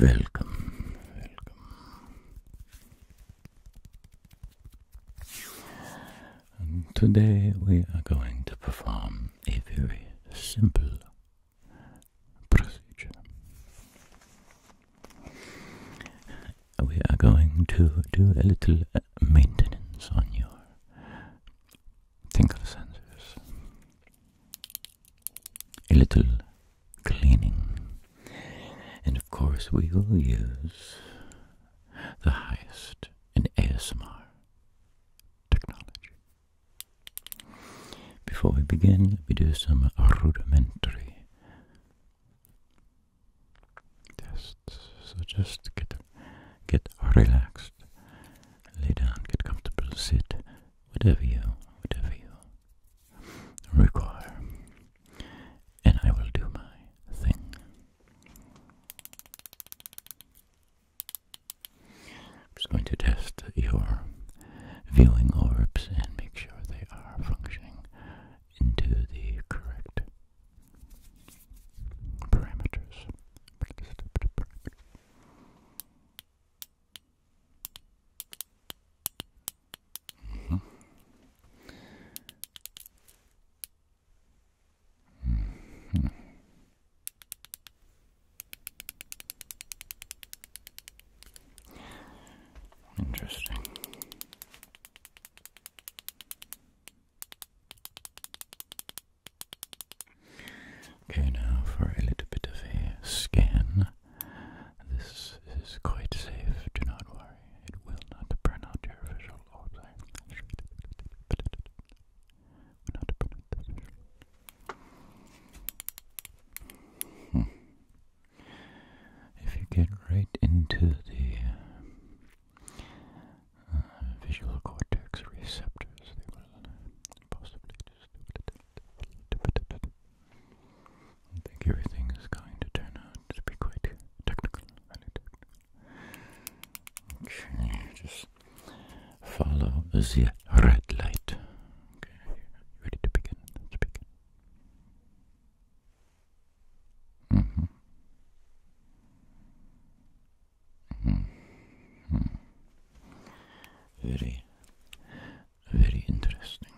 Welcome, today we are going to perform a very simple procedure. We are going to do a little uh, maintenance on your tingle sensors. A little cleaning. And of course, we will use the highest in ASMR technology. Before we begin, let me do some rudimentary tests. So just get get relaxed, lay down, get comfortable, sit, whatever you whatever you require, and I will do my thing. I'm just going to test your viewing orbs and make sure they are functioning into the correct Parameters. Interesting. Okay, now for a little bit of a scan. This is quite safe, do not worry. It will not burn out your visual hmm. If you get right into the uh, visual cortex receptors. possibly I think everything is going to turn out to be quite technical. Okay, just follow the red light. Okay, ready to begin. begin. Mm-hmm. Mm-hmm. mm-hmm. Very, very interesting.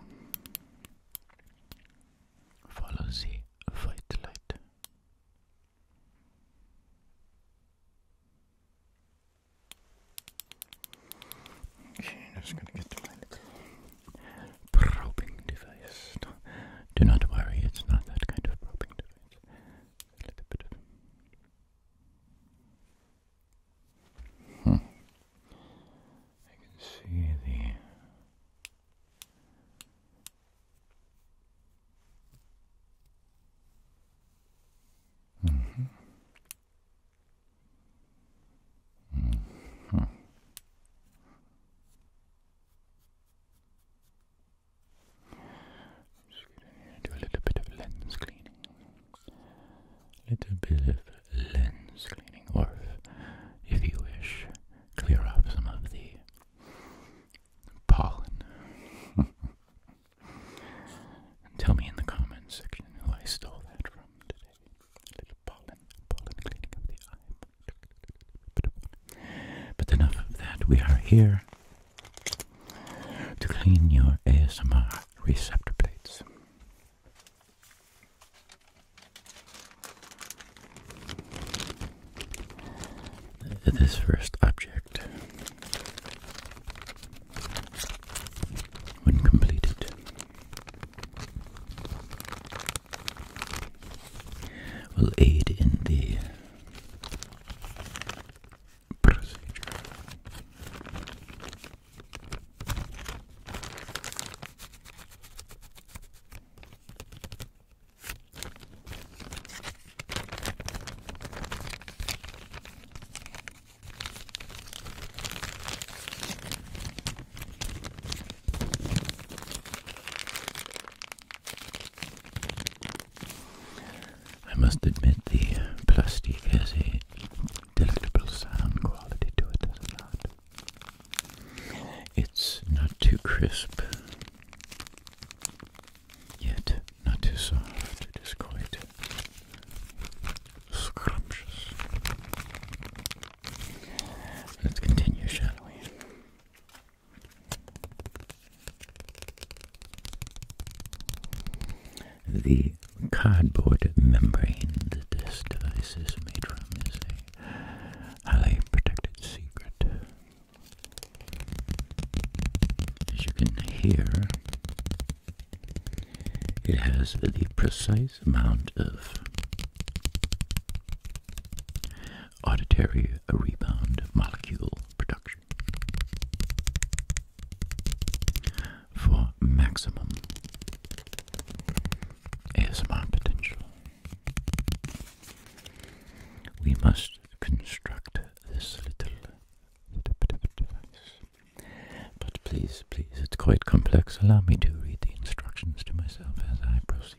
Follow the white light. Okay, just gonna get to my little probing device. do not worry, it's not that kind of probing device. A little bit hmm. I can see the. -hmm. -hmm i just going to do a little bit of lens cleaning. Little bit of lens cleaning, or if, you wish, clear up some of the pollen. tell me in the comments section who I stole that from today. A little pollen, pollen cleaning of the eye, but enough of that, we are here to clean your ASMR receptor plates. This first object, when completed, will aid in the procedure. I must admit the plastic has a delectable sound quality to it, does not? It's not too crisp, yet not too soft. It is quite scrumptious. Let's continue, shall the cardboard membrane that this device is made from is a highly protected secret. As you can hear, it has the precise amount of auditory rebound molecule production for maximum ASMR potential. We must construct this little, little device. But please, please, it's quite complex. Allow me to read the instructions to myself as I proceed.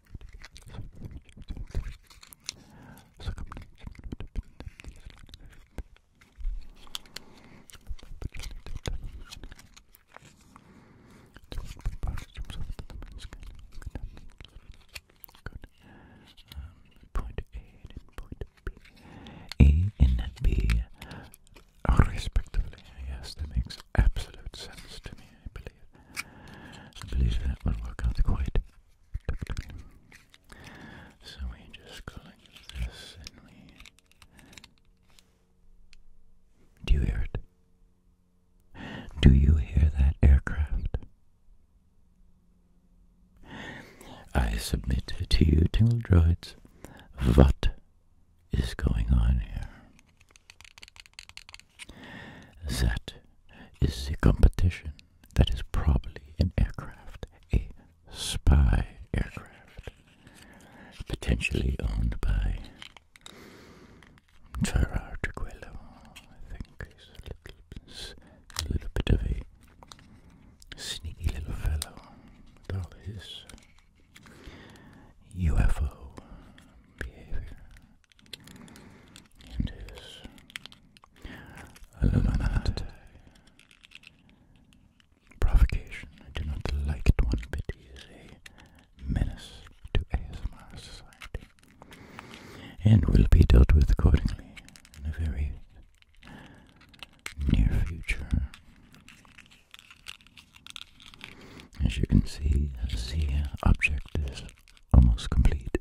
Good. Um, point A and point B. A and B respectively. Yes, that makes absolute sense to me, I believe. I believe that will work out quite So we just collect this and we. Do you hear it? Do you hear that aircraft? I submit to you, Tingle Droids, what is going on here? That is the competition that is probably an aircraft, a spy aircraft, potentially owned by Gerard Arguello. I think he's a little, a little bit of a sneaky little fellow with all his UFO behavior into this Illuminati provocation. I do not like it one bit. He a menace to ASMR society and will be dealt with accordingly in a very near future. As you can see, the objective. is almost complete,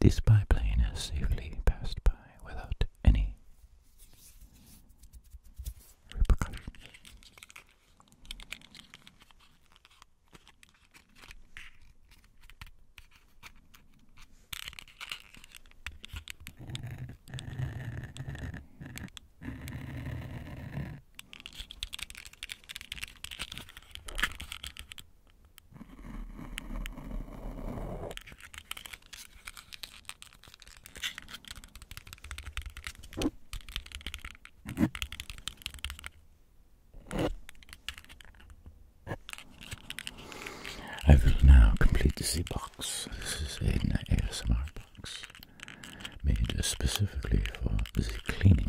This biplane has safely passed by without any repercussions. I will now complete the box. This is an ASMR box made specifically for the cleaning.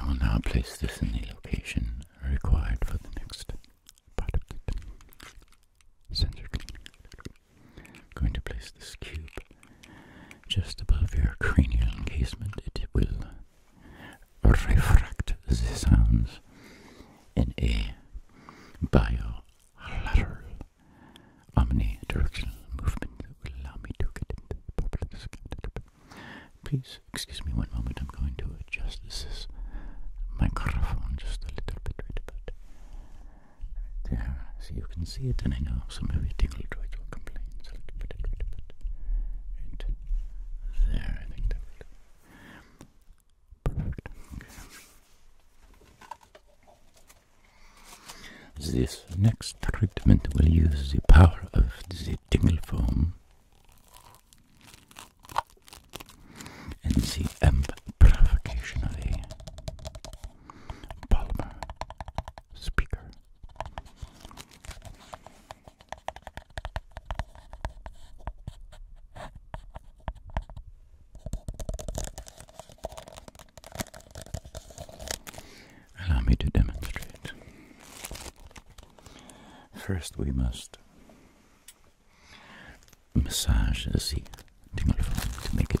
I will now place this in the location required for the next part of the I'm going to place this cube just above your cranial encasement. It will refract the sounds in a bilateral omnidirectional movement allow me to get into the purple skin. Please excuse me one moment. I'm going to adjust this microphone just a little bit right about there, so you can see it, and I know some of you tingle joys will complain. a bit right there. Perfect. This next treatment will use the power of the tingle foam and the amplification of a polymer speaker. Allow me to demonstrate. First, we must massage the tingle to make it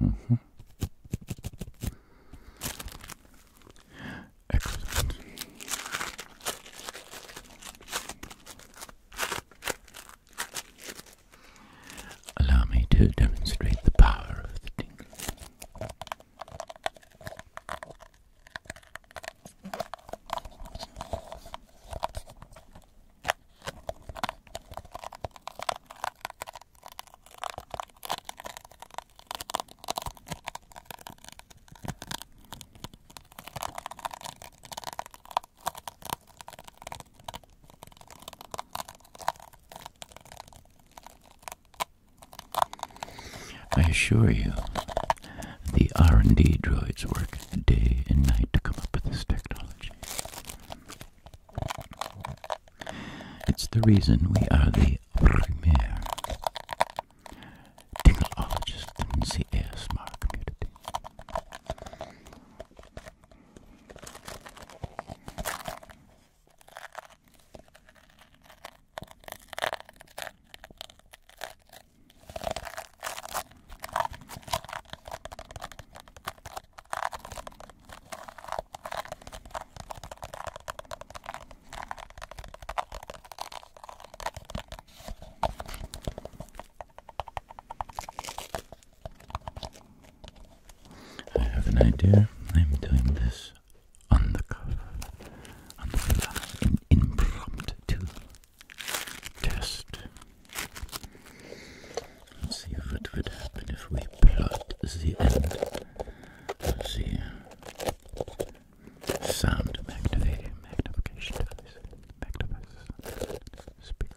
Mm Excellent. Allow me to demonstrate the power of the tingle. I assure you, the R&D droids work day and night to come up with this technology. It's the reason we are the premier tingleologist in the ASMR community. I have an idea. I'm doing this on the cover, on the fly, in impromptu test. Let's see what would happen if we plot the end of sound magnification magnification device. Magnifies speaker.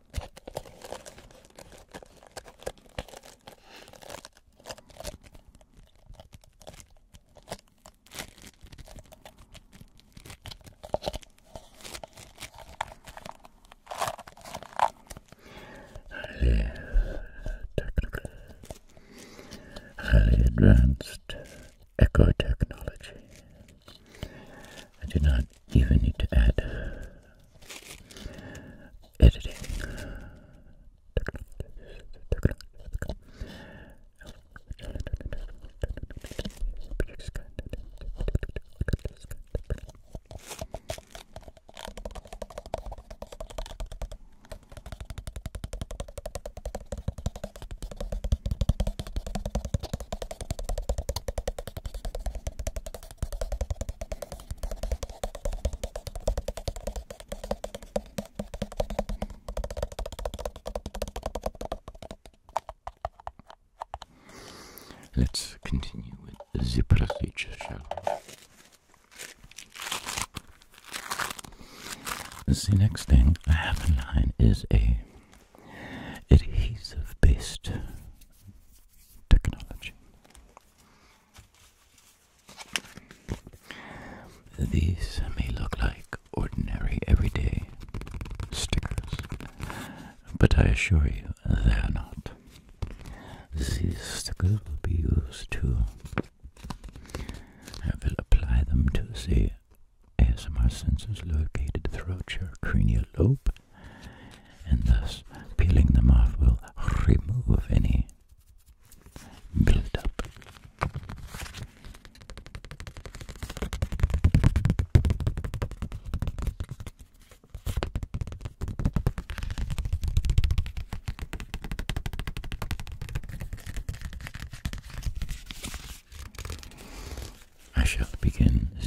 highly technical, highly advanced echo technology I do not even need to add uh, editing. Let's continue with the procedure, shall we? The next thing I have in line is a adhesive-based technology. These may look like ordinary, everyday stickers, but I assure you they are not. These stickers will be used to. I will apply them to see, as my sensors located throughout your cranial lobe and thus peeling them off will remove any buildup. I shall begin the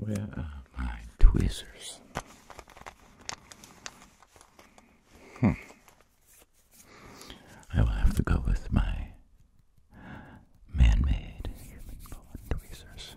Where are my tweezers? Hmm. I will have to go with my man-made human bone tweezers.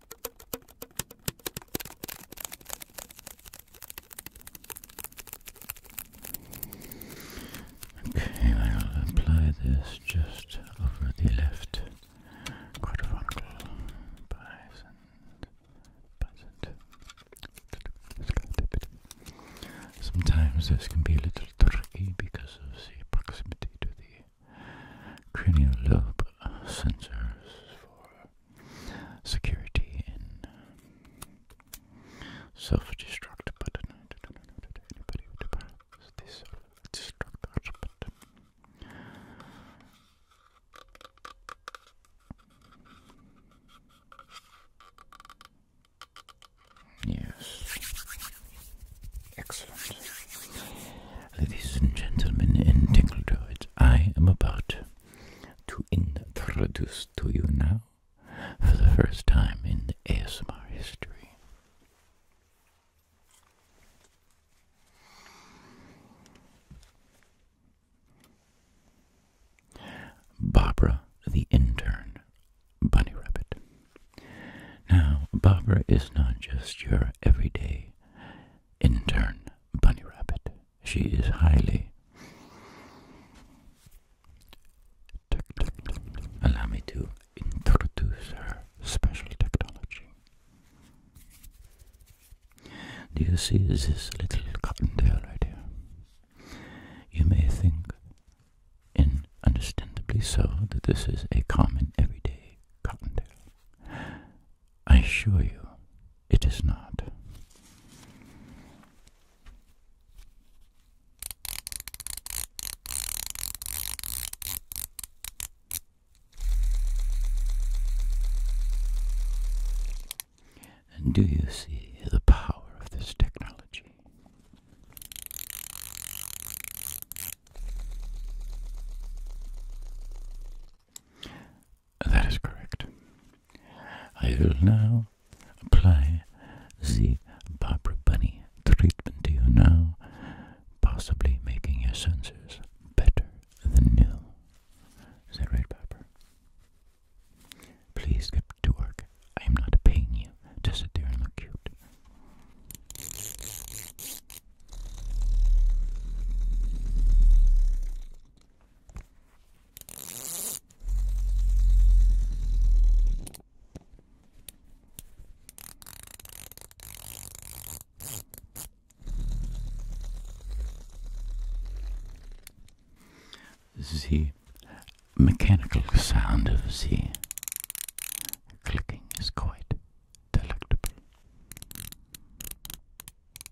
Okay, I'll apply this just over the left quadrilateral Sometimes this can be a little tricky because of the proximity to the cranial lobe sensors for security and um, self-destruct button. I don't know that anybody would press this self-destruct button. Um, yes. Excellent. Ladies and gentlemen in Tinkle Droids, I am about to introduce to you now for the first time in ASMR history. Barbara the Intern Bunny Rabbit. Now, Barbara is not just your everyday intern bunny rabbit she is highly. Allow me to introduce her special technology. Do you see this little cottontail right here? You may think, and understandably so, that this is a common everyday cottontail. I assure you, it is not. And do you see the power of this technology? That is correct. I will now apply the Barbara Bunny treatment to you now, possibly making your senses better than new. Is that right, Barbara? Please get to work. I am not paying you to sit there and look cute. This is he. mechanical sound of the clicking is quite delectable.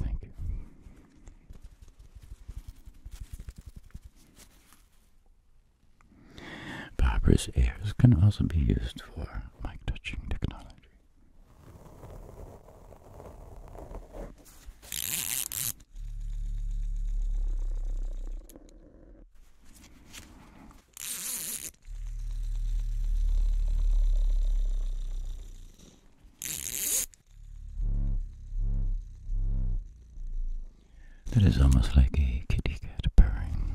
I think. ears can also be used for mic touching technology. That is almost like a kitty cat purring.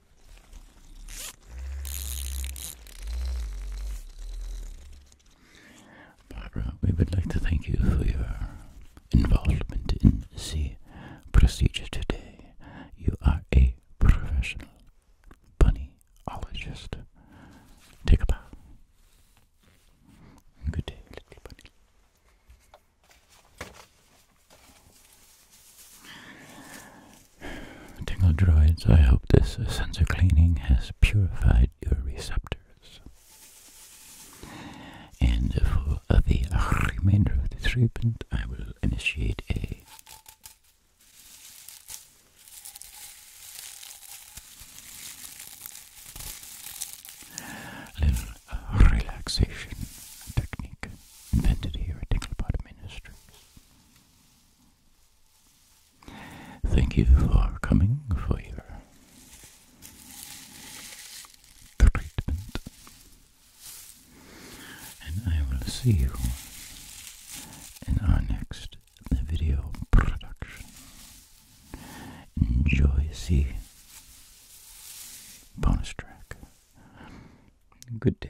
Barbara, we would like to thank you for your involvement in the procedure today. You are a professional bunnyologist. Take a bow. Good day, little bunny. Tingle droids, I hope this sensor cleaning has purified your receptors. And for the remainder of the treatment, I will initiate a little uh, relaxation technique invented here at Tinglebottom Ministries. Thank you for coming for your treatment, and I will see you in our next video production. Enjoy see, bonus track. Good day.